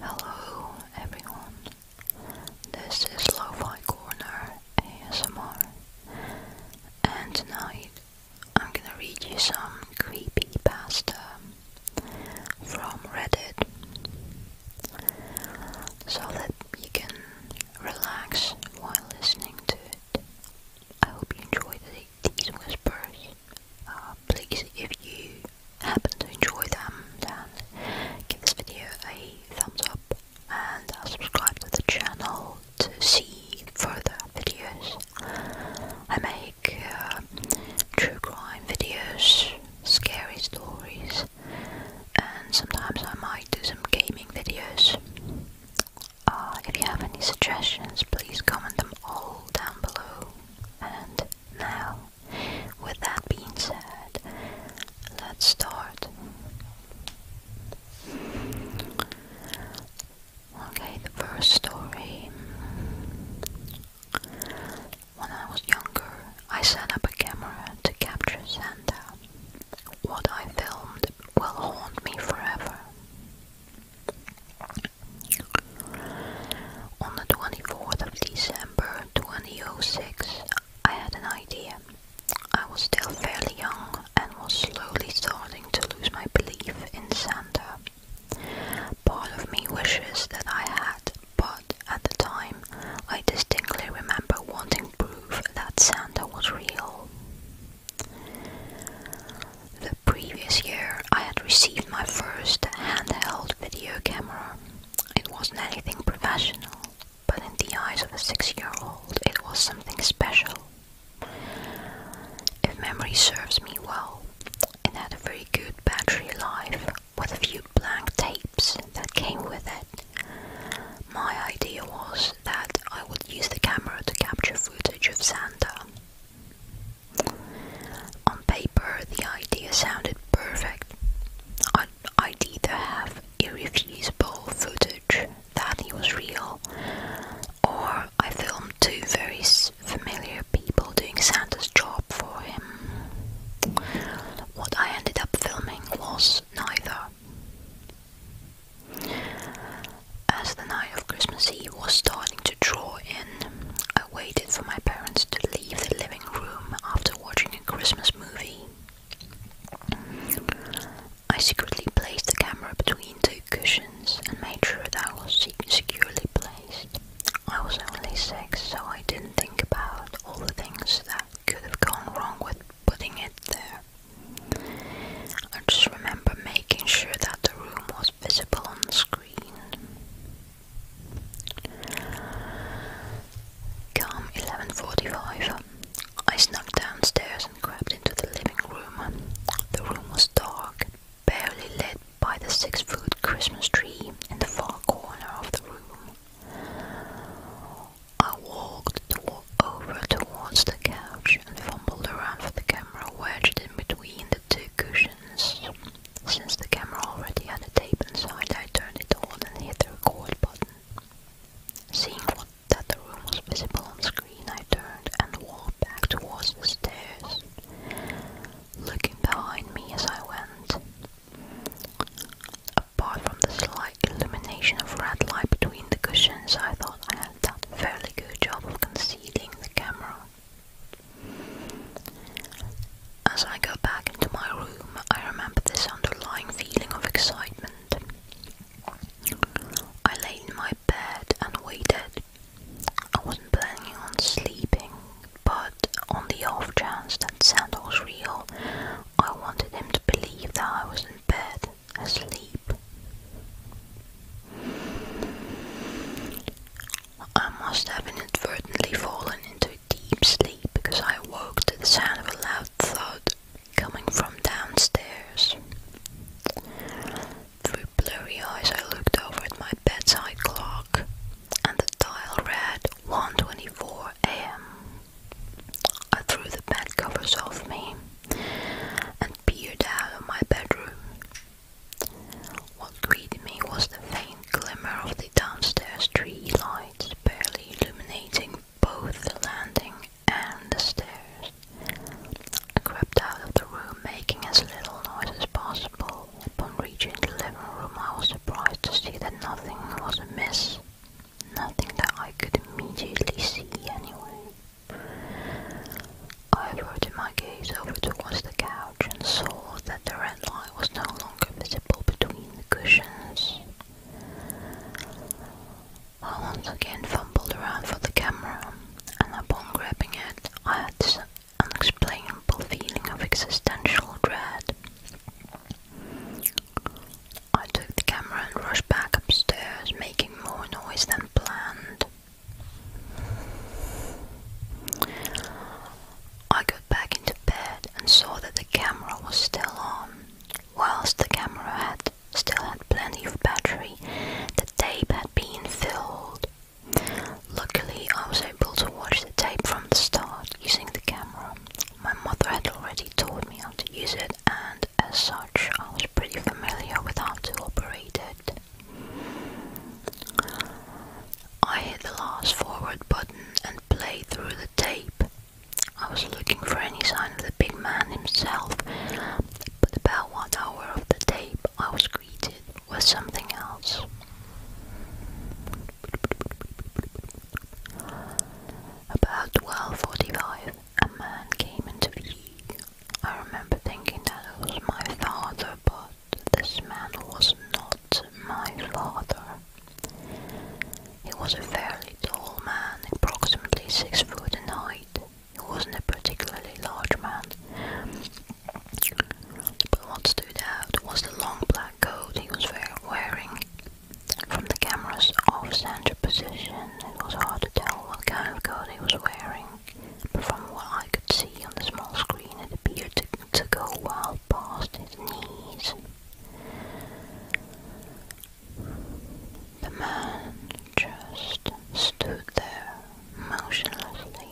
Hello everyone, this is Lo-Fi Corner ASMR and tonight I'm gonna read you some creepy pasta from Reddit so that you can relax while listening to it. I hope you enjoy these whispers. Uh, please if you happen to enjoy them then give this video a thumbs up and uh, subscribe to the channel to see further videos. I make uh, true crime videos, scary stories and sometimes I might do some gaming videos. if you have any suggestions please comment them all down below and now, with that being said, let's start. Okay, the first story. When I was younger, I set up a camera to capture Santa. What I filmed will haunt me forever. On the 24th of December 2006, I had an idea. I was still fairly young and was slowly starting to lose my belief in Santa. Part of me wishes that I had, but at the time, I distinctly remember wanting proof that Santa was real previous year, I had received my first handheld video camera. It wasn't anything professional, but in the eyes of a six year old, it was something special. If memory serves me well, it had a very good battery life with a few blank tapes that came with it. My idea was that I would use the camera to capture footage of Santa. On paper, the idea sounded perfect. I'd, i either have irrefutable footage that he was real, or I filmed two very familiar people doing Santa's job for him. What I ended up filming was neither. As the night of Christmas Eve was starting to draw in, I waited for my parents to leave the living room after watching a Christmas movie. I secretly placed the camera between two cushions and made sure that I was securely placed. I was only six, so I didn't think about all the things that could have gone wrong with putting it there. I just remember making sure that the room was visible on the screen. Come 11.45, I snuck downstairs and crept into the living room. The room was dark, barely lit by the six-foot Christmas tree in the far corner of the room. I walked over towards the couch couch and fumbled around for the camera wedged in between the two cushions. Since the camera already had a tape inside, I turned it on and hit the record button. Seeing what, that the room was visible on screen, I turned and walked back towards the stairs, looking behind me as I went. Apart from the slight illumination of red light between the cushions, I thought I have a fairly good job of concealing the camera. As I got back into my room, I remember this underlying feeling of excitement. I lay in my bed and waited. I wasn't planning on sleeping, but on the off chance that Santa was real, I wanted him to believe that I was in bed asleep. I must have inadvertently fallen into a deep sleep because I awoke to the sound of a loud thud coming from downstairs. Through blurry eyes, I looked over at my bedside clock, and the dial read 1:24 a.m. I threw the bed covers off me peered out of my bedroom. What greeted me was the faint glimmer of the downstairs tree lights, barely illuminating both the landing and the stairs. I crept out of the room, making as little noise as possible. Upon reaching the living room, I was surprised to see that nothing was amiss. Nothing that I could immediately see, anyway. I averted my gaze over towards the couch and saw that the red light was no longer visible between the cushions. I once again fumbled around for the camera, and upon grabbing it, I had this unexplainable feeling of existential dread. I took the camera and rushed back upstairs, making more noise than planned. I got back into bed and saw that the camera was still on. Whilst the camera had still had plenty of battery, the tape had been filled. Luckily, I was able to watch the tape from the start using the camera. My mother had already taught me how to use it and as such, I was pretty familiar with how to operate it. I hit the last forward button and played through the tape. I was looking for any sign of the big man himself, but about one hour of the tape, I was greeted with something else. About 12.45, a man came into view. I remember thinking that it was my father, but this man was not my father. He was a fairly tall man, approximately six foot in height. He wasn't a particularly large man. But what stood out was the long black coat he was wearing. From the camera's off-center position, it was hard to tell what kind of coat he was wearing, but from what I could see on the small screen, it appeared to, go well past his knees. The man just stood there, motionlessly.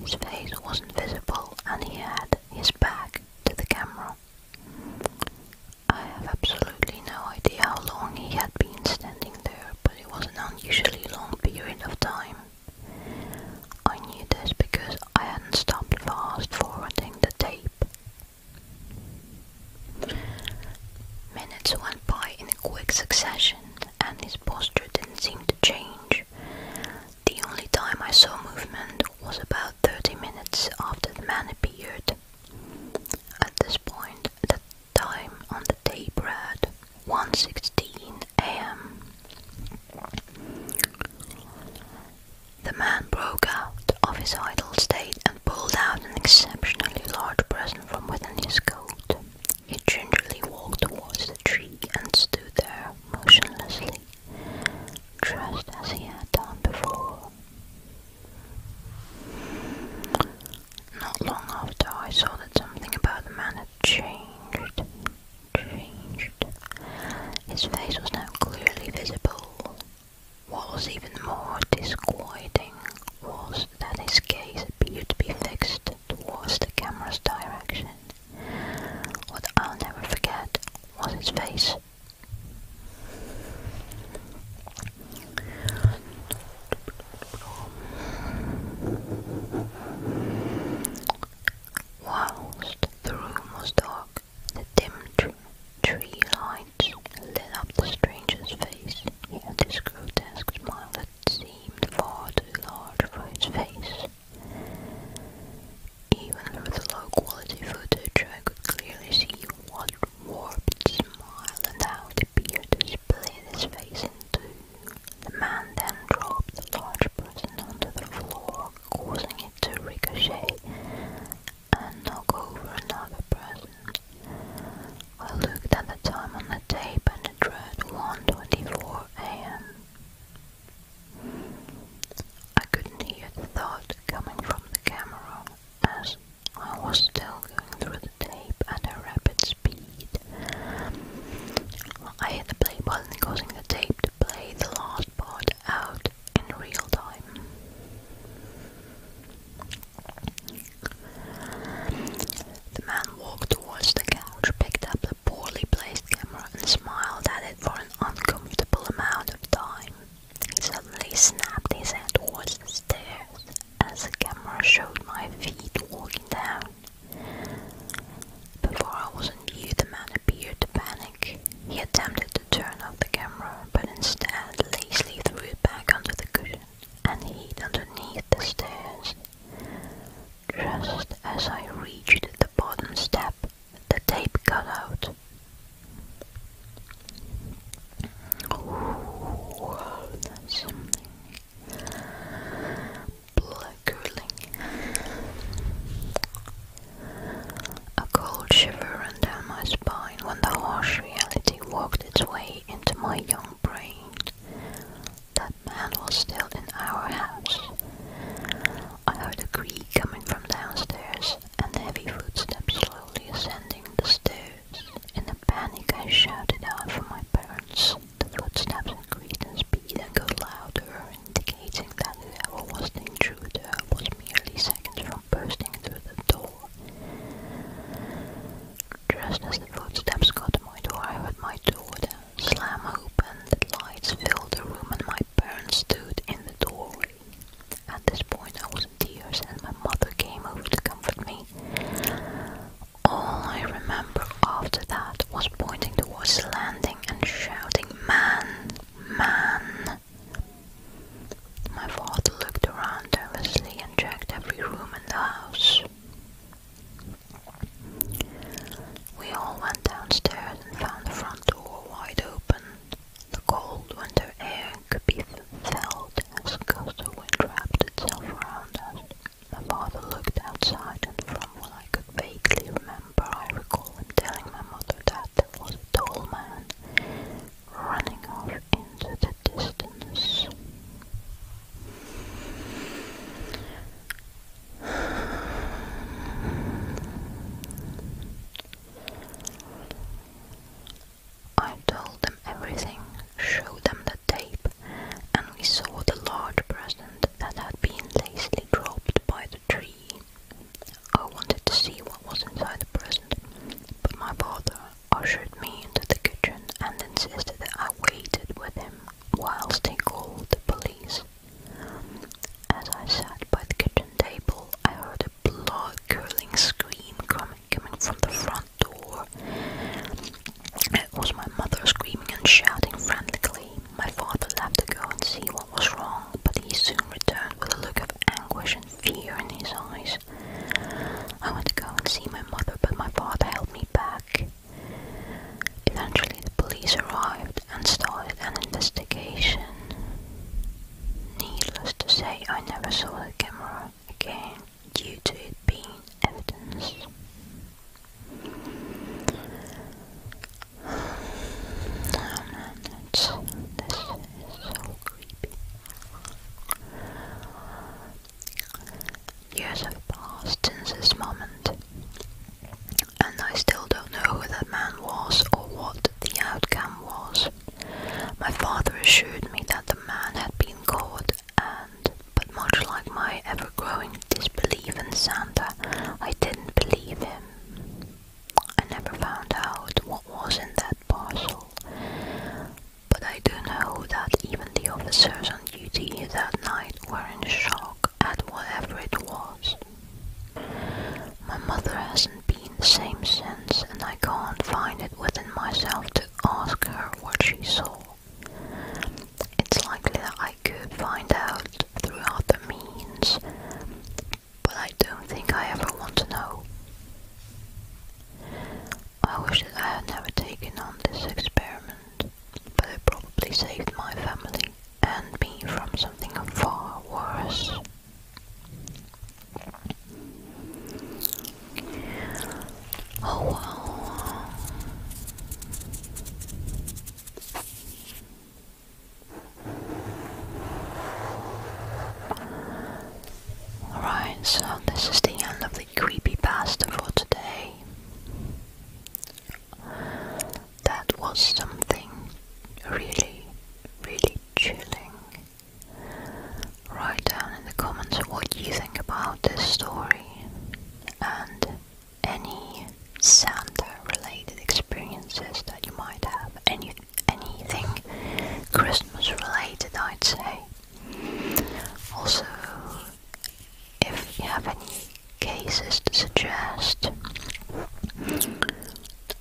His face wasn't visible, and he had his back to the camera. I have absolutely no idea how long he had been standing there, but it was an unusually long period of time. I knew this because I hadn't stopped fast forwarding the tape. Minutes went by in quick succession, and his posture didn't seem to change. The only time I saw movement was about 30 minutes after the man appeared. At this point, the time on the tape read 1.16 am. The man broke out of his idle state and pulled out an exceptionally large present from within his coat. He gingerly walked towards the tree and stood there motionlessly just as he had done before. Not long after, I saw that something about the man had changed. Changed. His face was now clearly visible. What was even more disquieting was that his gaze appeared to be fixed towards the camera's direction. What I'll never forget was his face Whilst the room was dark, the dim tree lights lit up the stranger's face. He had this grotesque smile that seemed far too large for his face. Even with low quality footage I could clearly see what warped smile and how it appeared to split his face in two. The man then dropped the large person onto the floor, causing it to ricochet and knock over another person. I looked at the time on the tape and it read 1.24 am. I couldn't hear the thought coming from the camera, as I was still going through the tape at a rapid speed. I hit the play button, causing the tape to play the last part out in real time. The man walked towards the couch, picked up the poorly placed camera, and smiled at it for an uncommutable amount of time. He suddenly snapped his head towards the stairs as the camera showed my feet walking down. Before I was in view, the man appeared to panic. He attempted to turn off the camera, but instead lazily threw it back under the cushion and hid underneath the stairs. Just as I reached the bottom step, the tape got out. something blood A cold shiver ran down my spine when the harsh reality walked its way into my young brain. That man was still in our house, I heard a creak coming from downstairs and heavy footsteps slowly ascending the stairs. In a panic, I shouted out for my parents. The footsteps increased in speed and got louder, indicating that whoever was the intruder was merely seconds from bursting through the door. Just as the footsteps got to my door, I heard my door down slam open, the lights filled the room, and my parents stood in the doorway. At this point, I was in tears, and my mother came over to comfort me. All I remember after that was pointing towards the landing and shouting, Man! Man! My father looked around nervously and checked every room in the house. We all went downstairs and found the front door wide open. The cold winter air could be felt as a gust of wind wrapped itself around us. My father looked outside, and from what I could vaguely remember, I recall him telling my mother that there was a tall man running off into the distance. I told them everything, showed them the tape, and we saw the large present that had been lazily dropped by the tree. I wanted to see what was inside the present, but my father ushered me into the kitchen and insisted that I waited with him whilst he called the police. As I sat by the kitchen table, I heard a blood-curdling scream coming, coming from the front door. It was my mother screaming and shouting frantically. My father left to go and see what was wrong, but he soon returned with a look of anguish and fear in his eyes. I went to go and see my mother, but my father held me back. Eventually, the police arrived and started an investigation. Needless to say, I never saw the camera again due to it being evidence. Oh man, this is so creepy. Years have passed since this moment, and I still don't know who that man was or what the outcome was. My father assured me that the man had been caught, and, but much like my ever growing disbelief in Santa, I didn't believe him. I never found out what was in that parcel, but I do know that even the officers on duty that night were in shock at whatever it was. My mother hasn't been the same since, and I can't find it within myself to ask her what she saw. It's likely that I could find out through other means, but I don't think I ever want to know. I wish that I had never taken on this experiment but it probably saved my family and me from something far worse. Oh wow. Alright, so this is the end of Creepy pasta for today. That was something really, really chilling. Write down in the comments what you think about this story and any Santa related experiences that you might have. Any, anything Christmas related, I'd say. Also, if you have any cases to suggest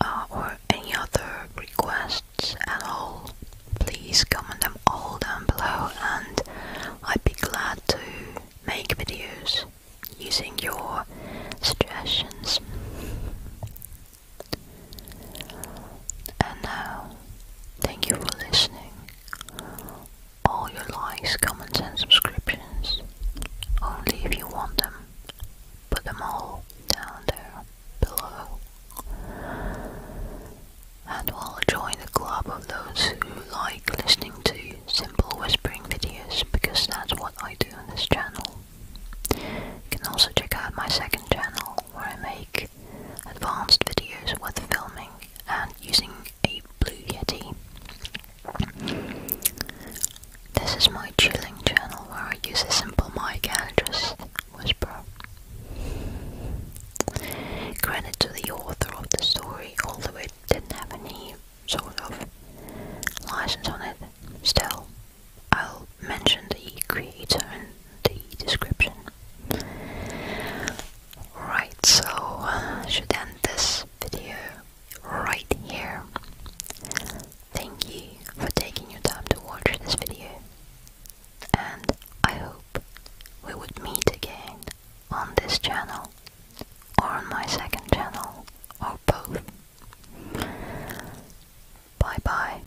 uh, or any other requests at all, please comment them all down below and I'd be glad to make videos using your suggestions. And now, thank you for listening all your likes, comments and subscriptions, only if you want them. Put them all down there below. And we'll join the club of those who like listening to simple whispering videos because that's what I do on this channel. You can also check out my second channel where I make advanced videos worth filming and using a Blue Yeti. This is my chilling channel where I use a simple mic and just whisper. Credit to the author of the story, although it didn't have any sort of license on it. Still, I'll mention the creator the description. Right, so I uh, should end this video right here. Thank you for taking your time to watch this video, and I hope we would meet again on this channel, or on my second channel, or both. Bye bye.